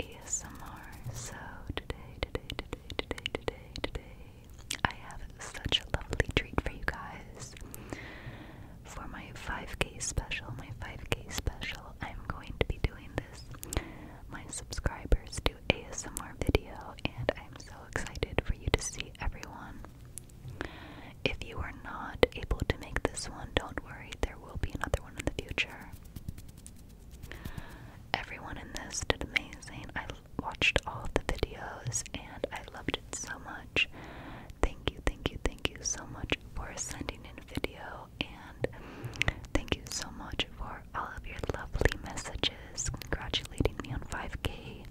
ASMR. So today, today, today, today, today, today, I have such a lovely treat for you guys. For my 5K special, my 5K special, I'm going to be doing this. My subscribers do ASMR video, and I'm so excited for you to see everyone. If you are not able to make this one, don't worry, there will be another one in the future. Everyone in this did amazing. I watched all the videos and I loved it so much. Thank you, thank you, thank you so much for sending in a video and thank you so much for all of your lovely messages congratulating me on 5k.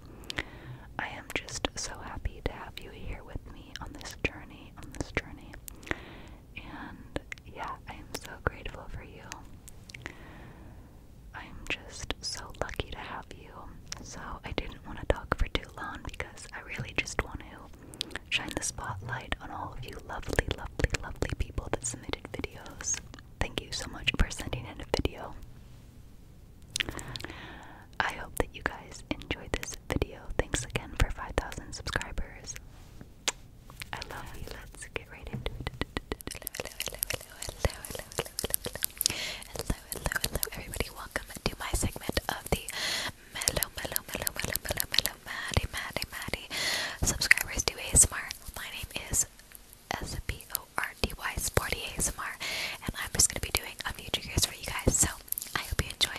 I am just so happy to have you here with me on this journey, on this journey. And yeah, I am so grateful for you. I'm just so lucky to have you. So I didn't want to talk for too long because I really just want to shine the spotlight on all of you lovely, lovely, lovely people that submitted videos. Thank you so much for sending in a video. I hope that you guys enjoyed this video. Thanks again for 5,000 subscribers. I love you. Let's get right into it. Hello, hello, hello, hello, hello, hello, hello, hello, hello, hello, everybody. Welcome to my segment of the Mellow, Mellow, Mellow, Mellow, Mellow, Mellow, Maddie, Maddie, Maddie subscribers to ASMR. My name is S-P-O-R-D-Y, Sporty ASMR, and I'm just going to be doing a few triggers for you guys, so I hope you enjoy.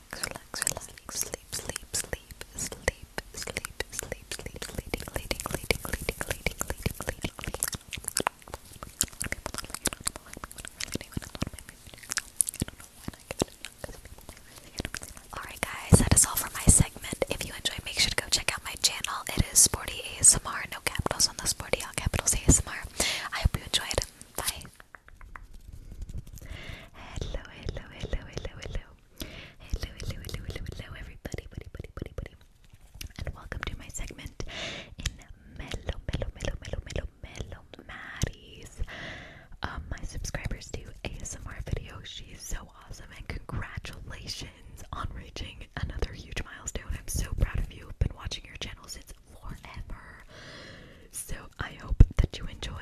relax, relax, sleep, sleep, sleep, sleep, sleep, sleep, sleep, leading, leading, leading, leading, leading, leading, leading, leading. Alright guys, that is all for my segment. If you enjoyed, make sure to go check out my channel. It is Sporty ASMR. No capitals on the Sporty, all capitals ASMR. I hope you enjoyed. Bye. Hello, hello, hello, hello, hello. Hello, hello, hello, hello, hello, everybody, buddy, buddy, buddy, buddy, and welcome to my segment in Melo, Melo, Melo, Melo, Melo, Melo Maddie's. Um, my subscribers do ASMR videos. She's so awesome, and congratulations on reaching another huge milestone. I'm so proud of you. I've been watching your channel since forever, so I hope that you enjoy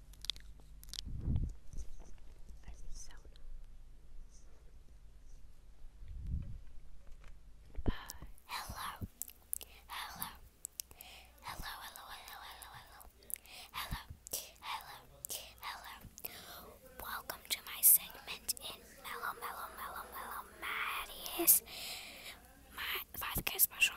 hello. Hello. Hello, hello, hello, hello, hello. Hello. Hello. Hello. Welcome to my segment in Mellow Mellow Mellow Mellow Maddie's my 5K special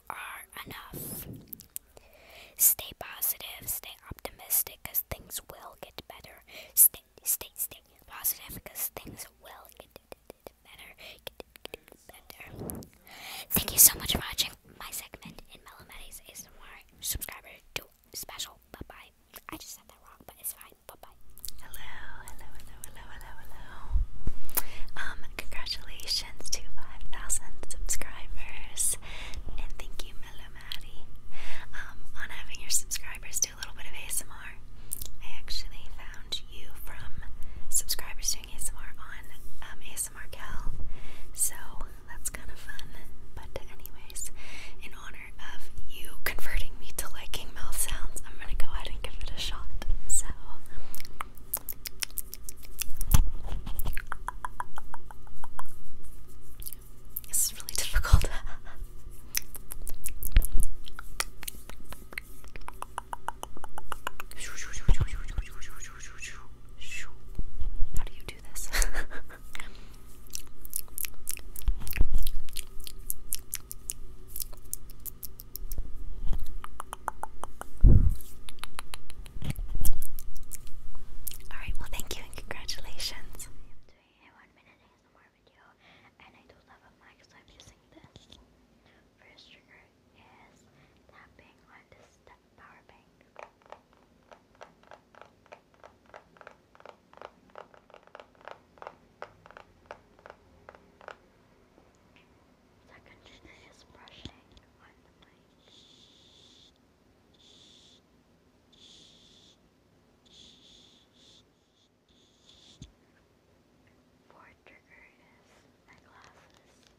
you are enough. Stay positive, stay optimistic, because things will get better. Stay, stay, stay positive, because things will get better. Get, better. Thank you so much for watching my segment in Melomedy's ASMR. Subscriber to special. Bye bye. I just said that wrong, but it's fine. Bye bye. Hello, hello, hello, hello, hello, hello. Um, Congratulations to 5,000 subscribers. And thank you, Melomari, um, on having your subscribers do a little bit of ASMR. I actually found you from subscribers doing ASMR on um, ASMR Cal. So that's kind of fun. But, anyways, in honor of you converting me to liking mouth sounds, I'm gonna go ahead and give it a shot. So, this is really difficult. How do you do this? Alright, well, thank you and congratulations. I'm doing a one minute ASMR video, and I don't have a mic, so I'm using this. First trigger is tapping on this power bank. Second is brushing on the Porter Curtis and glasses.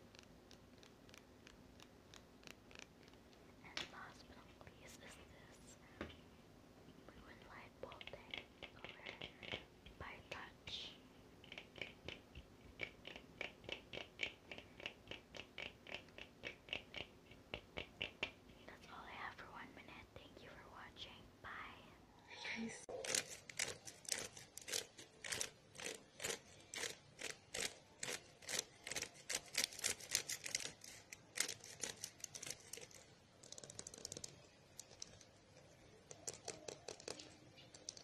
And last but not least is this blue and light bulb tank color by touch. That's all I have for one minute. Thank you for watching. Bye.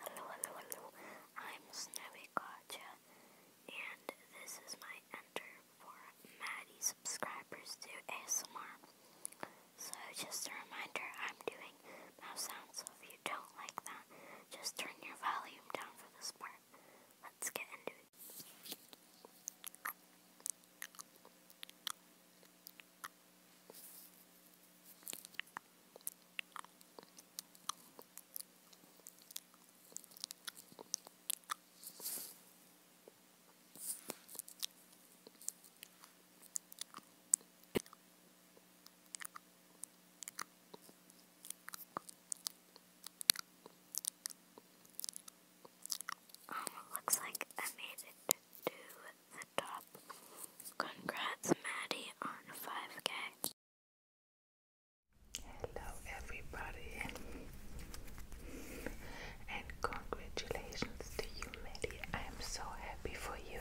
Hello, hello, hello. I'm Snowy and this is my enter for Maddie subscribers to ASMR. So, just a reminder, I'm doing mouse sounds, so if you don't like that, just turn your volume down for this part. Let's get into it. Um, it looks like I made it to top. Congrats, Maddie, on 5k. Hello, everybody, and congratulations to you, Maddie. I am so happy for you.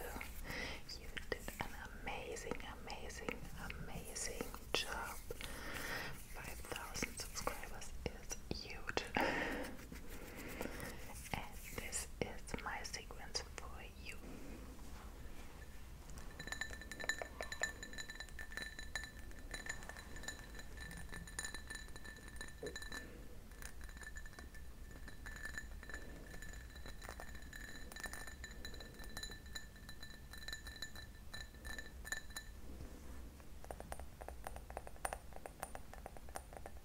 You did an amazing, amazing, amazing job. 5,000 subscribers is huge. and this is my sequence for you.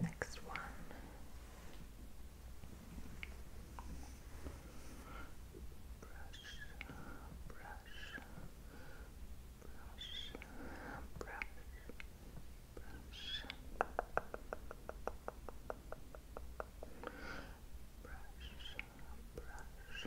Next one. Brush, brush, brush, brush, brush, brush, brush. Brush,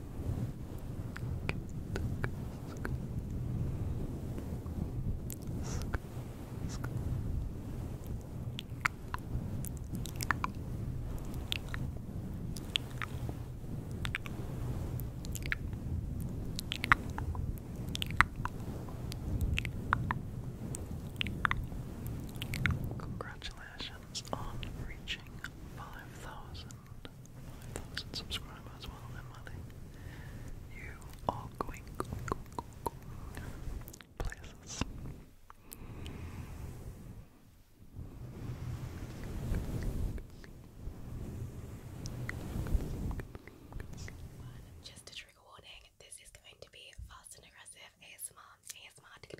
Congratulations on reaching five thousand 5,000 subscribers well then, Maddie. You are going places. Just a trigger warning, this is going to be fast and aggressive ASMR, ASMR,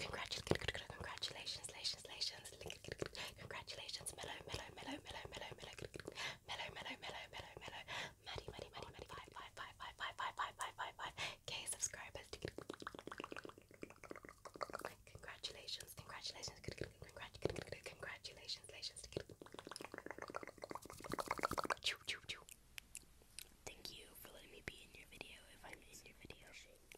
Congratulations, congratulations, congratulations, congratulations, mellow, mellow, mellow, mellow, mellow, mellow, mellow, mellow, mellow, mellow, mellow, Maddie, Maddie, Maddie, Maddie, five, five, five, five, five, five, five, five, five, five, K subscribers. Congratulations, congratulations, congratulations, congratulations, Thank you for letting me be in your video.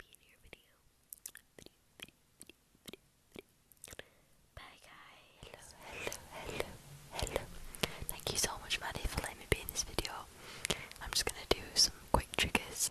Thank you Bye guys. Hello, hello, hello, hello. Thank you so much Maddie for letting me be in this video. I'm just gonna do some quick triggers.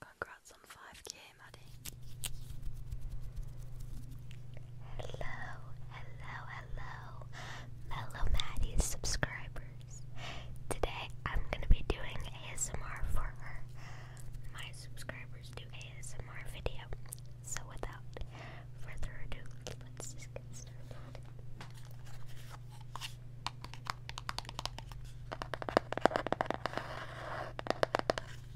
congrats on 5k, Maddie. Hello, hello, hello, Mellow Maddie subscribers. Today I'm gonna be doing ASMR for My subscribers do ASMR video. So without further ado, let's just get started.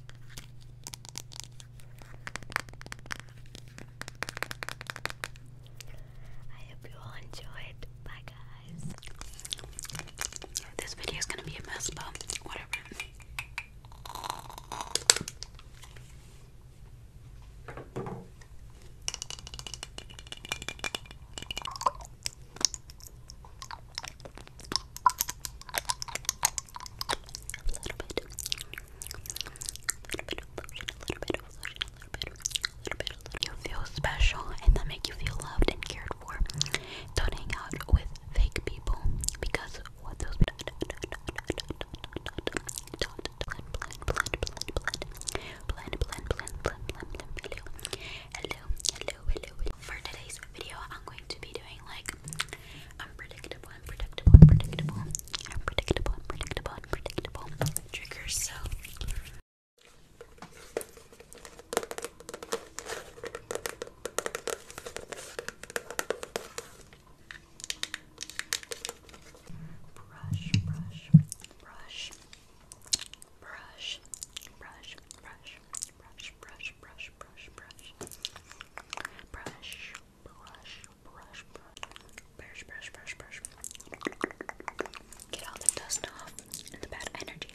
I hope you all enjoyed. Bye, guys. This video is gonna be a mess, but whatever. You feel special, and that make you feel loved and cared for. Don't hang out with fake people because what those dot dot Hello, hello, hello, hello. today's video, I'm going going to be doing like unpredictable, unpredictable, unpredictable, unpredictable, unpredictable, unpredictable triggers. So. Brush, brush, brush, brush, brush, brush, brush, brush, brush, brush, brush, brush, brush, brush, brush, brush, brush, brush. Get all the dust off and the bad energy.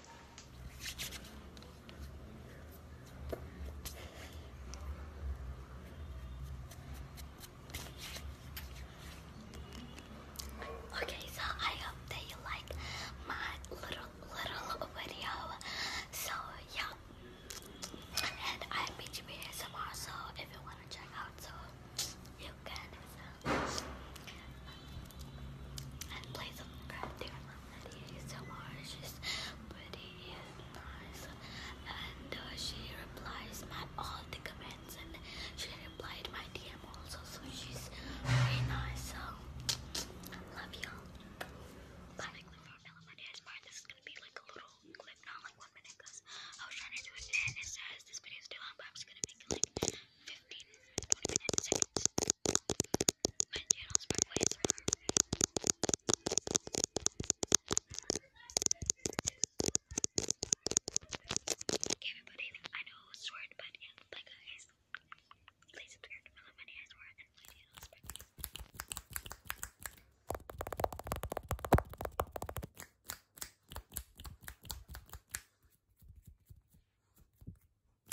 Okay, so I hope that you like my little little video. So yeah, and I'm BGB ASMR. So if you wanna check out, so you can. And play some crap these oranges pretty nice. And she replies my all the comments and she replied my DM also. So she's very nice. So love you. Bye. My dad's part. This is gonna be like a little clip, not like one minute, I was trying to do it and it says this video is too long, but I'm just gonna make it like 15, 20 minutes. My channel's by way tomorrow. Okay, everybody, I know it was short, but yeah, bye guys. Please subscribe to my money as well and my channel's by way.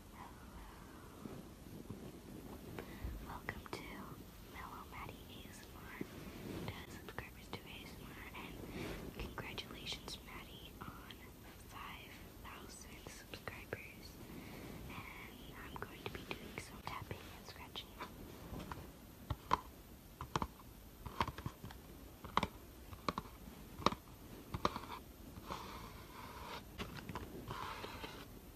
Hello. Welcome to Mellow Maddie ASMR. To subscribers to ASMR, and congratulations, Maddie, on 5,000 subscribers. And I'm going to be doing some tapping and scratching.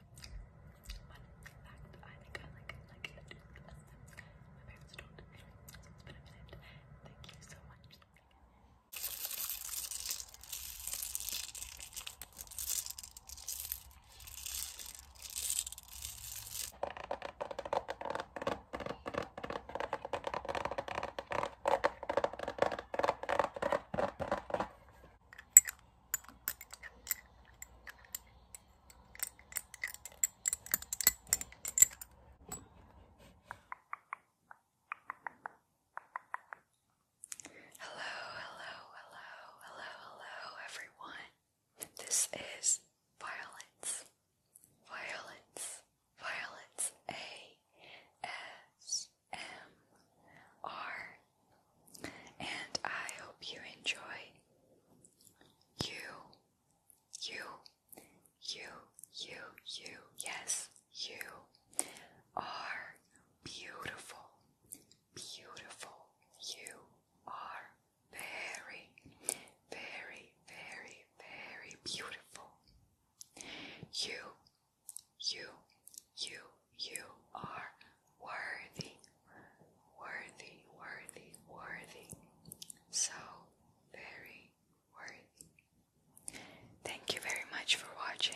But in fact, I think I like it like it less than my parents don't. So it's been a minute. Thank you so much. Thank you so much. Hello, hello, hello, hello, hello, everyone. This is Violence, Violence, Violence A S M R and I hope you enjoy. You, you, you, you, you, yes, you are beautiful, beautiful. You are very, very, very, very beautiful. You, you, you, you are worthy, worthy, worthy, worthy. So very worthy. Thank you very much for watching.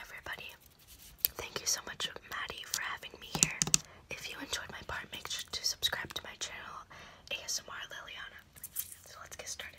everybody, thank you so much, Maddie, for having me here. If you enjoyed my part, make sure to subscribe to my channel, ASMR Liliana. So let's get started.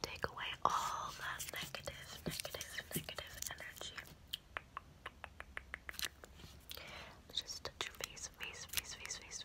Take away all that negative, negative, negative energy. Just your face, face, face, face, face.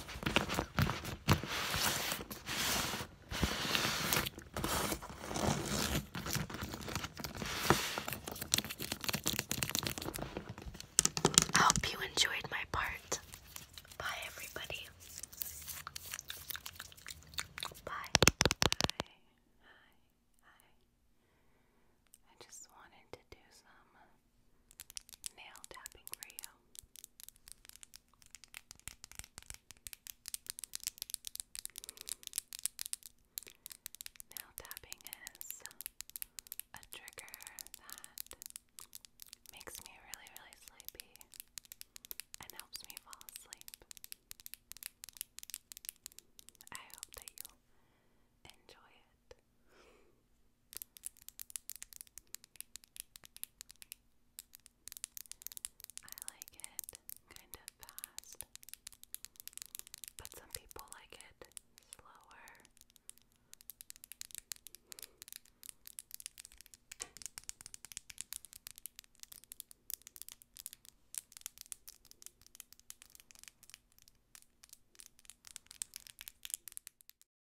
I hope you enjoyed my part. Bye, everybody. Bye. I just wanted to do some nail tapping for you. Nail tapping is a trigger that makes me really, really sleepy and helps me fall asleep. I hope that you enjoy it. I like it kind of fast, but some people like it slower.